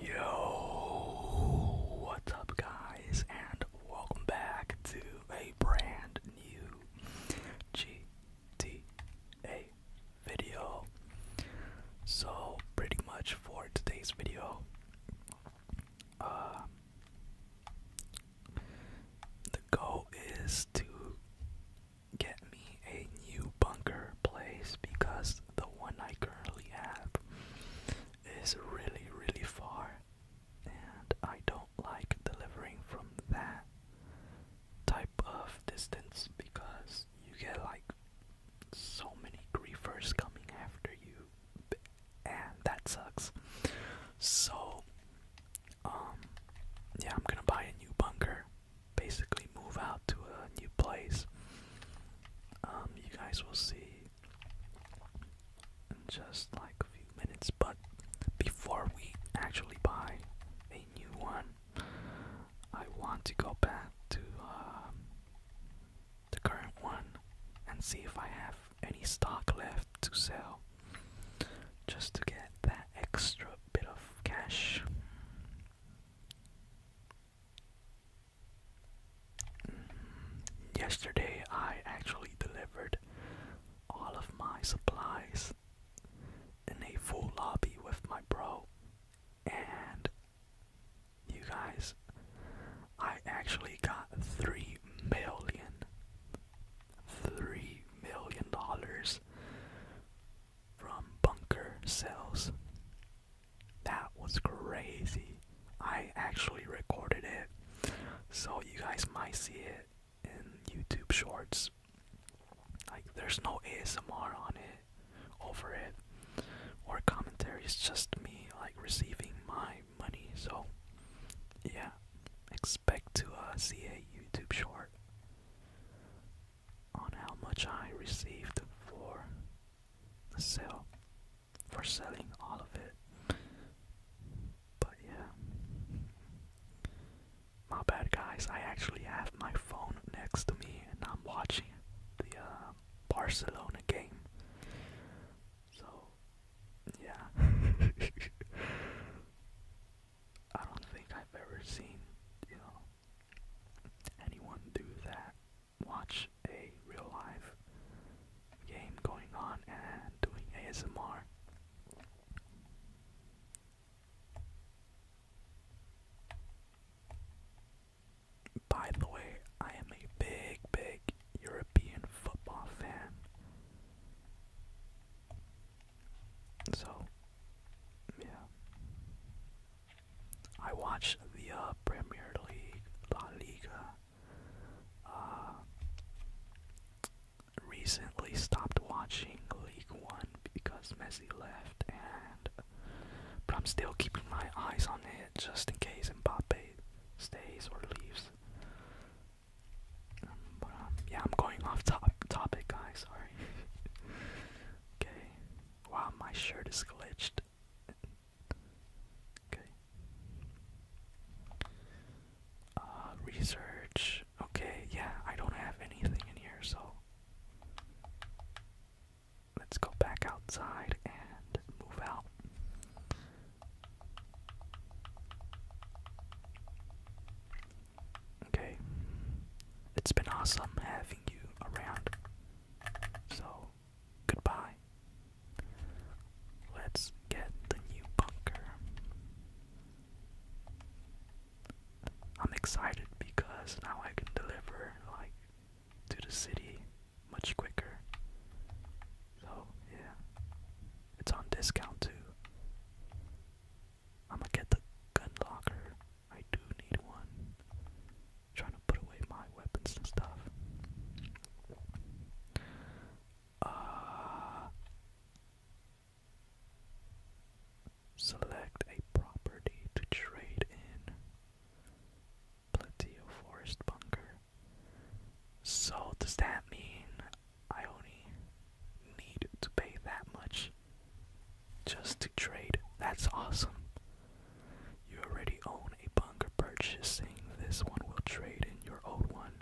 Yo, what's up, guys, and welcome back to a brand new GTA video. So, pretty much for today's video, uh, the goal is to get me a new bunker place because the one I currently have is really, really far, and I don't like delivering from that type of distance because you get like so many griefers coming after you, and that sucks. So, um, yeah, I'm gonna buy a new bunker basically move out to a new place. Um, you guys will see in just like a few minutes, but before we actually buy a new one, I want to go back to uh, the current one and see if I have any stock left to sell just to get that extra bit of cash. Yesterday, I actually delivered all of my supplies in a full lobby with my bro, and you guys, I actually got three million, three million dollars from bunker cells. That was crazy. I actually recorded it, so you guys might see it in YouTube Shorts. Like, there's no ASMR on it, over it, or commentary. It's just me like receiving my money. So, yeah, expect to uh, see a YouTube short on how much I received for the sale, for selling all of it. But yeah, my bad, guys. I actually have my phone next to me, and I'm watching the uh, Barcelona game. So yeah, I don't think I've ever seen you know anyone do that? Watch a real life game going on and doing ASMR. By the way, I am a big, big European football fan. So, yeah. I watch the uh, Premier League, La Liga. Uh, recently stopped watching League One because Messi left, and but I'm still keeping my eyes on it just in case Mbappe stays or leaves. Um, but um, yeah, I'm going off top topic, guys. Sorry. okay. Wow, my shirt is glitched. okay. Uh, research. Okay, yeah, I don't have anything in here, so let's go back outside and move out. Okay. It's been awesome having you around. So, goodbye. Let's get the new bunker. I'm excited because now I can deliver like to the city much quicker. So, yeah. It's on discount too. I'm gonna get the gun locker. I do need one. trying to put away my weapons and stuff. Uh, select a property to trade in. Plenty forest bunker. So does that mean I only need to pay that much? Just to trade. That's awesome. You already own a bunker purchasing. This one will trade in your old one.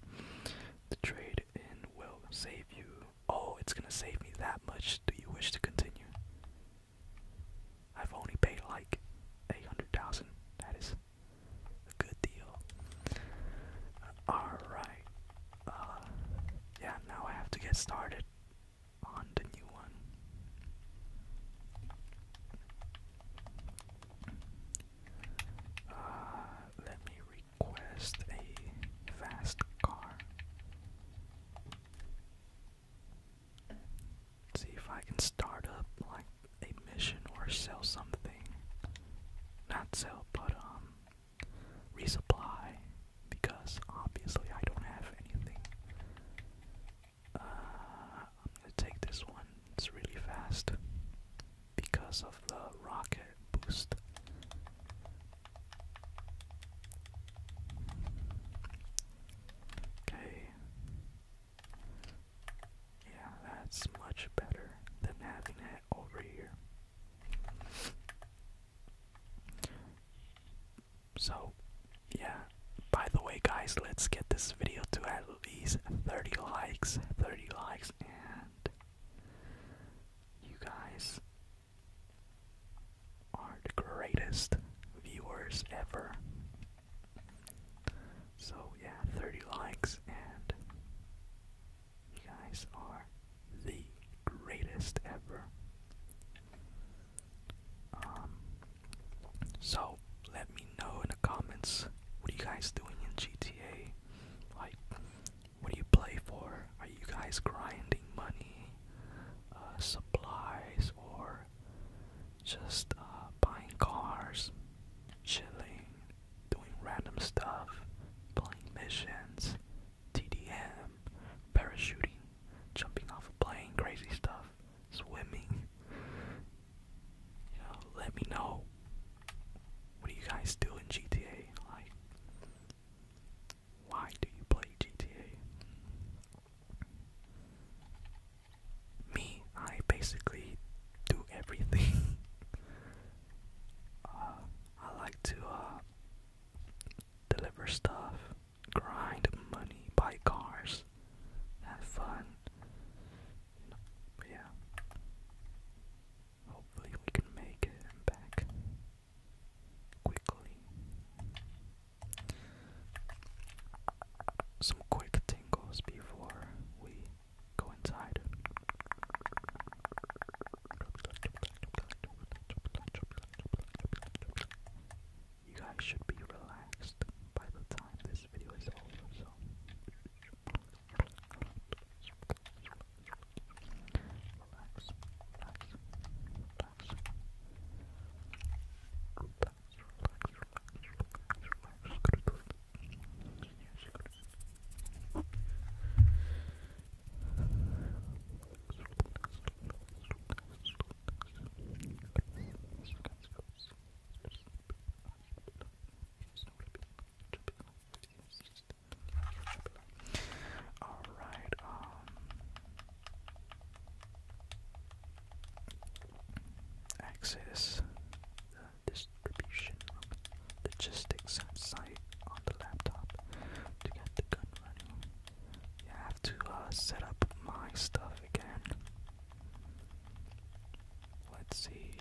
The trade in will save you. Oh, it's gonna save me that much. Do you wish to continue? I've only paid like 800,000. That is a good deal. Alright. Uh, yeah, now I have to get started on the new one. Uh, let me request a fast car. See if I can start up like a mission or sell something. Not sell, but um, resupply because obviously I don't have anything. Uh, I'm gonna take this one, it's really fast because of the rocket boost. Okay. Yeah, that's much better than having it over here. So, yeah. By the way, guys, let's get this video to at least 30 likes. 30 likes, and you guys are the greatest viewers ever. So, yeah, 30 likes, and you guys are the greatest ever. Um, so let me know in the comments what are you guys doing in GTA? Like, what do you play for? Are you guys grinding money, uh, supplies, or just uh, buying cars, chilling, doing random stuff, playing missions? TDM, parachuting, jumping off a plane, crazy stuff, swimming. You let me know what do you guys do in GTA? Like, why do you play GTA? Me, I basically do everything. Uh, I like to uh, deliver stuff, grind money, buy cars, have fun. yeah. Hopefully we can make it back quickly. Some quick tingles before we go inside. You guys should be relaxed by the time this video is over, so relax, relax, relax. Relax, relax, relax, relax, relax. All right. Um, access the distribution room logistics site on the laptop to get the gun running. Yeah, I have to uh, set up my stuff again. Let's see.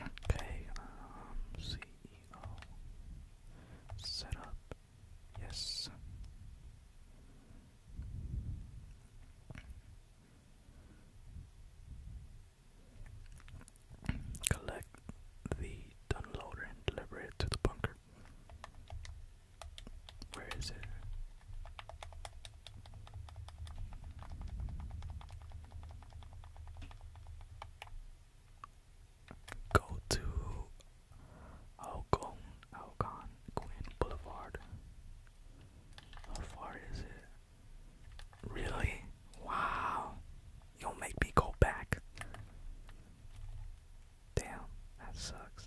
Okay, um, CEO. Set up. Yes. Collect the Dunloader and deliver it to the bunker. Where is it? Go to Algon, Algon Queen Boulevard. How far is it? Really? Wow. You'll make me go back. Damn, that sucks.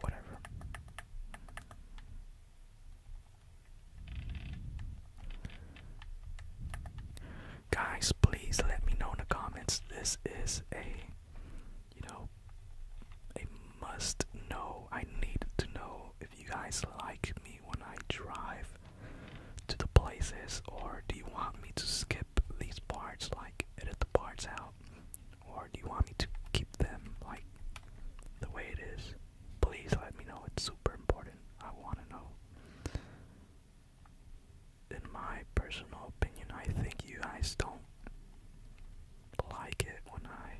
Whatever guys please let me know in the comments this is a you know a must know i need to know if you guys like me when i drive to the places or do you want me to skip these parts like edit the parts out or do you want me to keep them like the way it is please let me know it's super important i want to know in my personal opinion, I think you guys don't like it when I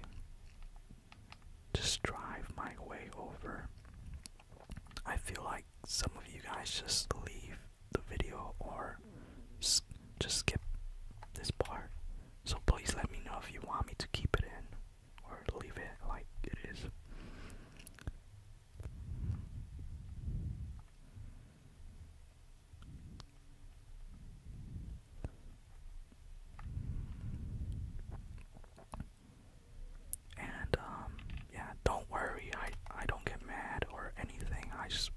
just drive my way over. I feel like some of you guys just leave the video or just skip this part. So please let me know if you want me to keep it in or leave it like it is. And um, yeah, don't worry. I I don't get mad or anything. I just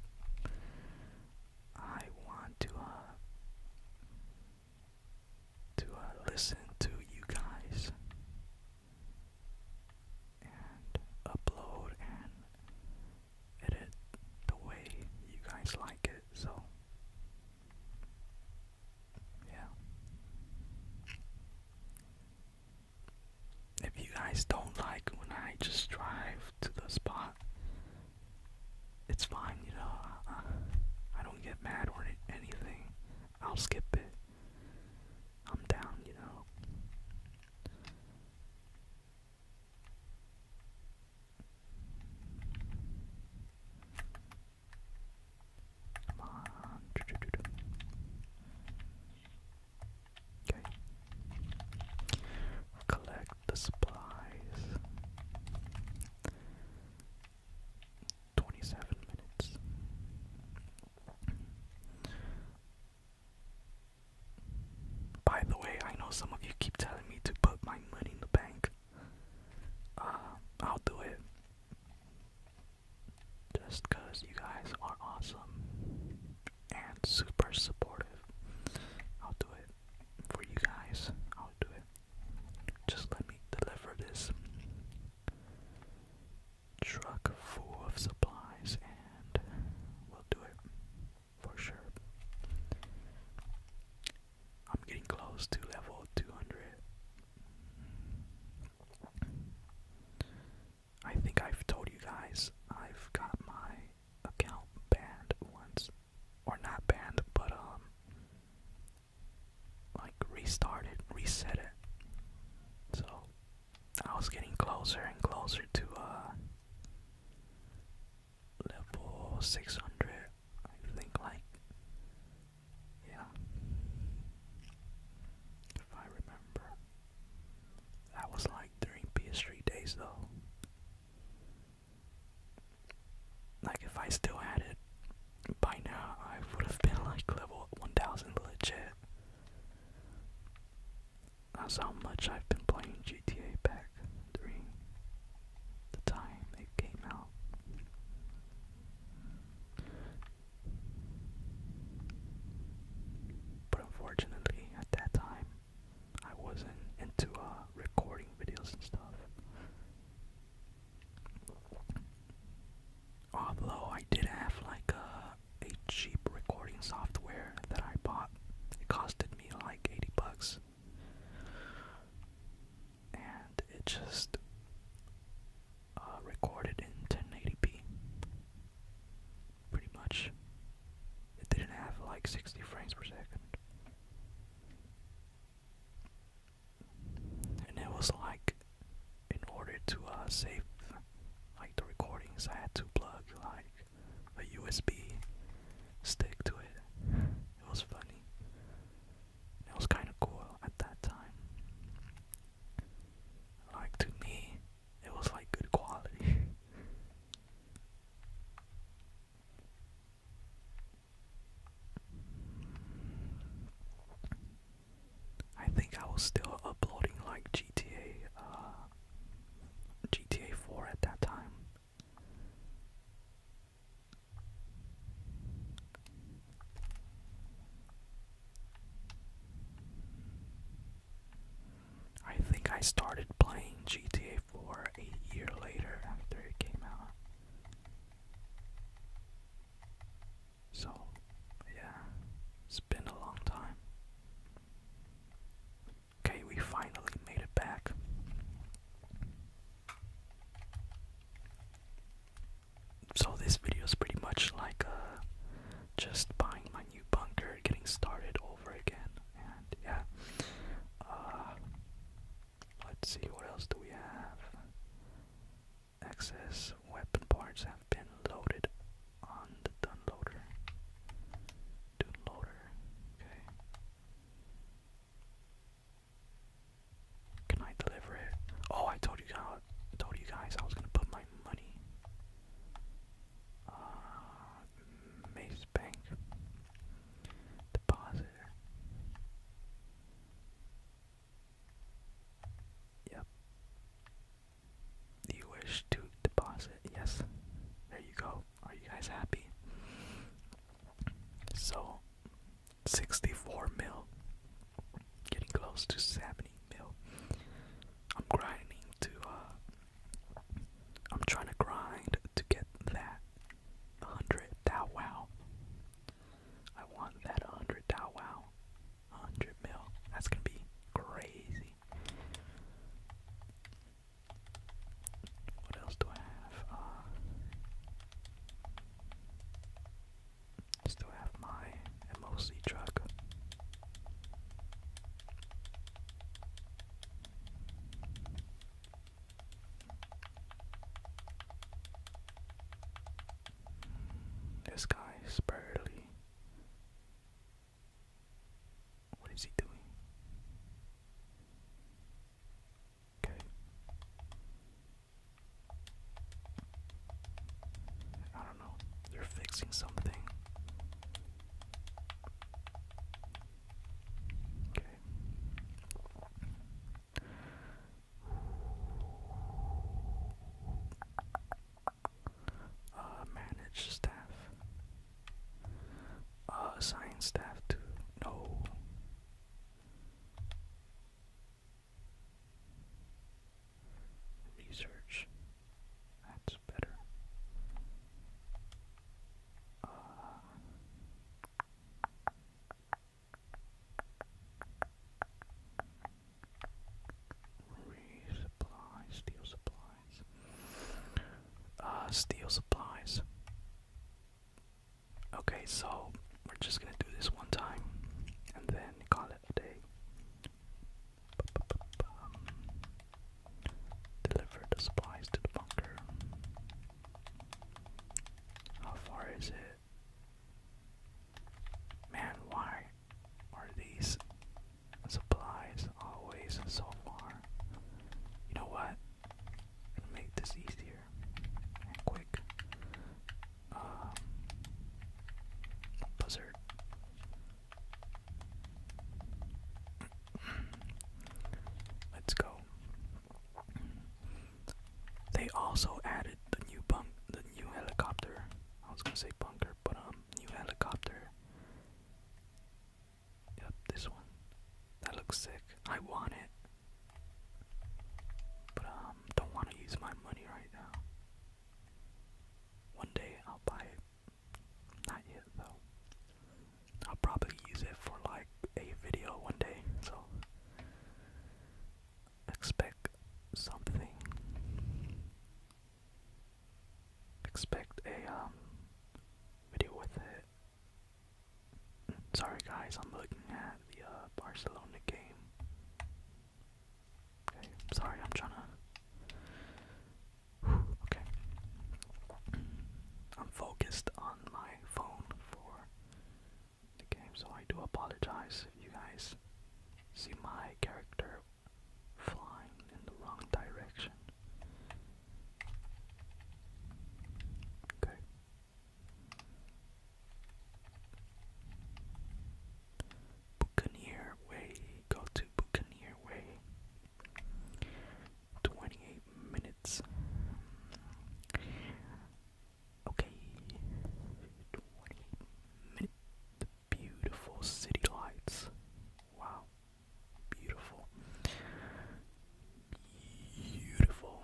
I want to uh, to uh, listen to you guys and upload and edit the way you guys like it. So, yeah. If you guys don't like when I just drive to the spot, it's fine, you know. I don't get mad or anything. I'll skip it. I'm down, you know. Come on. Okay. Collect the supplies. 27 minutes. By the way, I know some of you keep telling me to put my money in the bank. Uh, I'll do it. Just you guys are awesome and super supportive. I'll do it for you guys. I'll do it. Just let me deliver this truck full of supplies and we'll do it for sure. I'm getting close to level 200. I think I've told you guys I've got my account banned once. Or not banned, but um like restarted, reset it. So I was getting closer and closer to uh level 600 I think like yeah if I remember that was like during PS3 days though like if I still had it by now I would have been like level 1000 legit that's how much I've been playing GTA back during the time it came out. But unfortunately, at that time, I wasn't into uh, recording videos and stuff. Although I did have like a, a cheap recording software that I bought, it costed me like 80 bucks. And it just uh, recorded in 1080p. Pretty much. It didn't have like 60 frames per second. And it was like in order to uh, save like the recordings, I had to plug like a USB stick to it. It was funny. It was kind of cool at that time. Like to me, it was like good quality. I think I was still uploading like GTA, uh, GTA 4 at that time. I think I started playing GTA 4 a year later after it came out. So, yeah, it's been a long time. Okay, we finally made it back. So, this video is pretty much like uh, just buying my new bunker, getting started over again, and yeah. Uh, let's see, what else do we have? excess weapon parts have been loaded on the Dunloader. Dunloader, okay. Can I deliver it? Oh, I told you guys. told you guys I was gonna put my money. Uh, Mace Bank deposit. Yep. Do you wish to deposit? Yes. There you go. Are you guys happy? So, 64 mil. Getting close to 70 mil. I'm grinding to, uh, I'm trying to grind to get that 100 thou wow. I want that 100 thou wow. 100 mil. That's gonna be crazy. What else do I have? Uh, still have my MOC truck. This guy is barely what is he doing? Okay. I don't know. They're fixing something. Okay uh, manage staff, uh, assign staff to no. Research. That's better. Uh, steel supplies. Uh, steel supplies. Okay, so we're just gonna do this one time and then call it a day. Deliver the supplies to the bunker. How far is it? Man, why are these supplies always so far? You know what? make this easier quick. Um, buzzard. Let's go. They also added the new bump, the new helicopter I was gonna say bunker, but um, new helicopter. Yep, this one. That looks sick. I want it. But um, don't want to use my money right now. One day I'll buy it. Not yet though. I'll probably use it for like a video one day. So expect something. Expect a um, video with it. Sorry guys, I'm looking at the uh, Barcelona game. Okay, sorry, I'm trying to. Whew, okay. I'm focused on my phone for the game, so I do apologize you guys see my character flying in the wrong direction. Okay. Buccaneer Way. Go to Buccaneer Way. 28 minutes. Okay, The beautiful city lights. Wow, beautiful. Beautiful.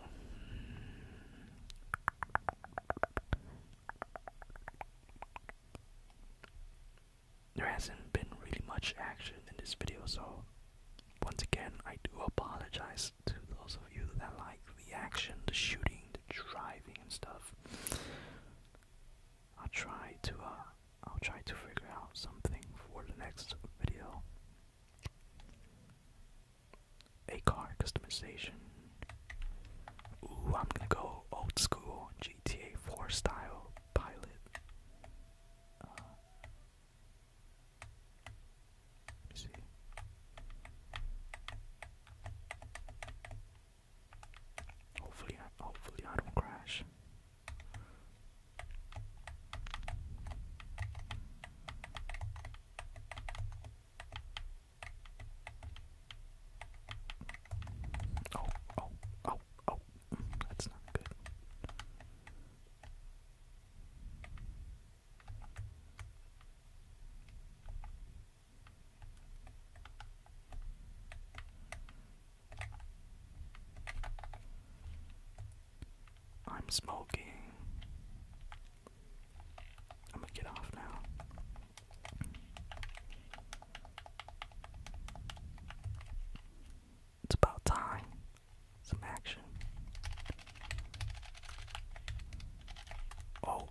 There hasn't been really much action in this video, so once again, I do apologize to those of you that like the action, the shooting, driving and stuff. I'll try to uh, I'll try to figure out something for the next video. A car customization. Ooh, I'm gonna go old school GTA 4 style pilot. Uh, Hopefully, hopefully I don't crash. Oh, oh, oh, oh, mm, that's not good. I'm smoking. I'm gonna get off now. It's about time. Some action. Oh,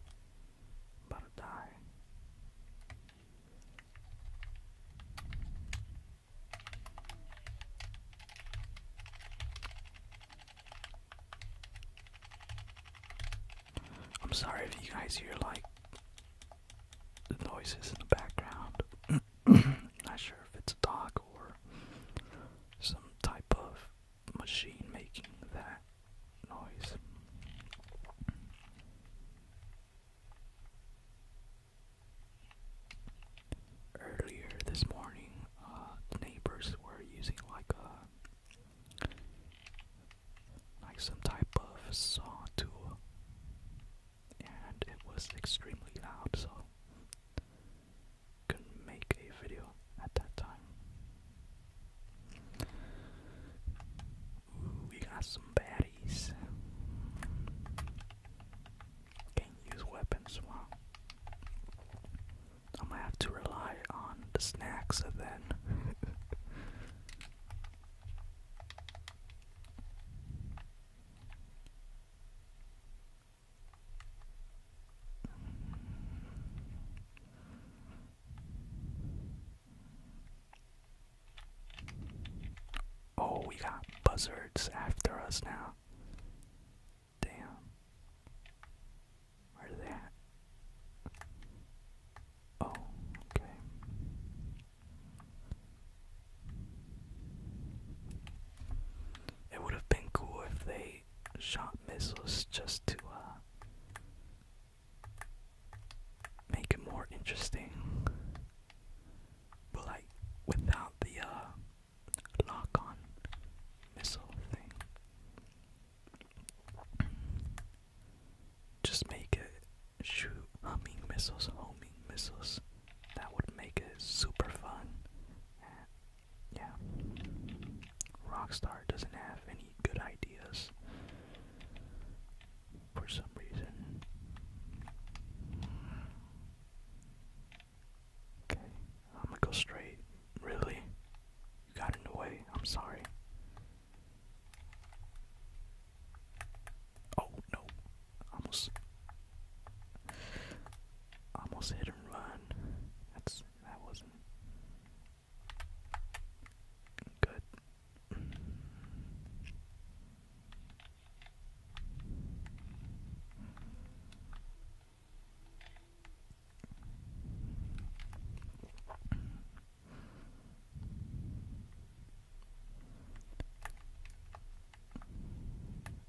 I'm sorry if you guys hear like the noises in the background. Not sure if it's a dog or some type of machine making that noise. Earlier this morning, uh, neighbors were using like a like some type of saw tool, and it was extremely loud, so couldn't make a video at that time. we got some baddies. Can't use weapons, wow. I'm gonna have to rely on the snacks then. Oh, we got buzzards after us now. Damn. Where are they Oh, okay. It would have been cool if they shot missiles just to uh, make it more interesting. But like without the uh, lock-on missile thing, just make it shoot humming missiles, homing missiles. That would make it super fun. Yeah. Rockstar doesn't have any good ideas for some reason. Okay, I'm gonna go straight. Really? You got in the way. I'm sorry. Oh no. Almost almost hit and run. That's that wasn't Good.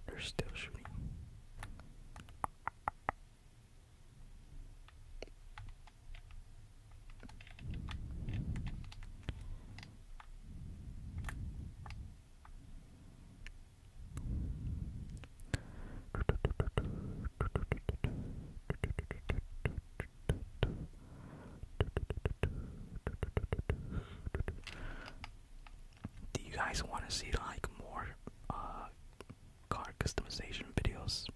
They're still shooting. Do you guys want to see like more uh, car customization videos.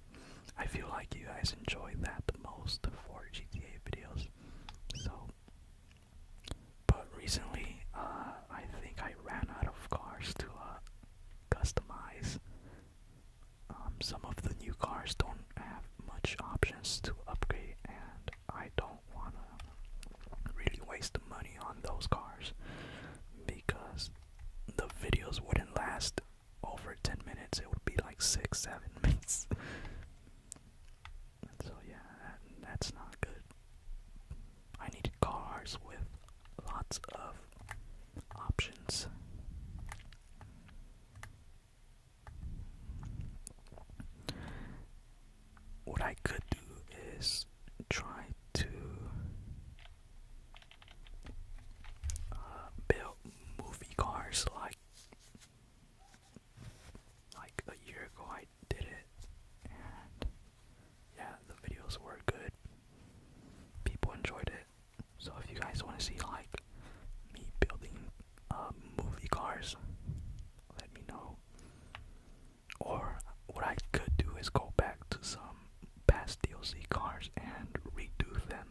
I feel like you guys enjoy that the most for GTA videos. So, but recently, uh, I think I ran out of cars to uh, customize. Um, some of the new cars don't have much options to upgrade, and I don't wanna really waste the money on those cars because the videos wouldn't last over 10 minutes, it would be like 6 7 minutes. so, yeah, that's not good. I needed cars with lots of options. What I could do is try to built movie cars like like a year ago I did it yeah the videos were good people enjoyed it so if you guys want to see like me building um, movie cars let me know or what I could do is go back to some Pass DLC cars and redo them,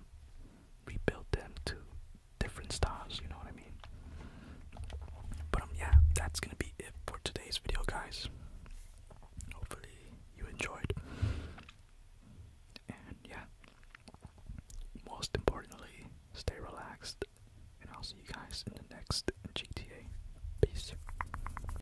rebuild them to different styles, you know what I mean? But um, yeah, that's gonna be it for today's video, guys. Hopefully you enjoyed. And yeah, most importantly, stay relaxed, and I'll see you guys in the next GTA. Peace.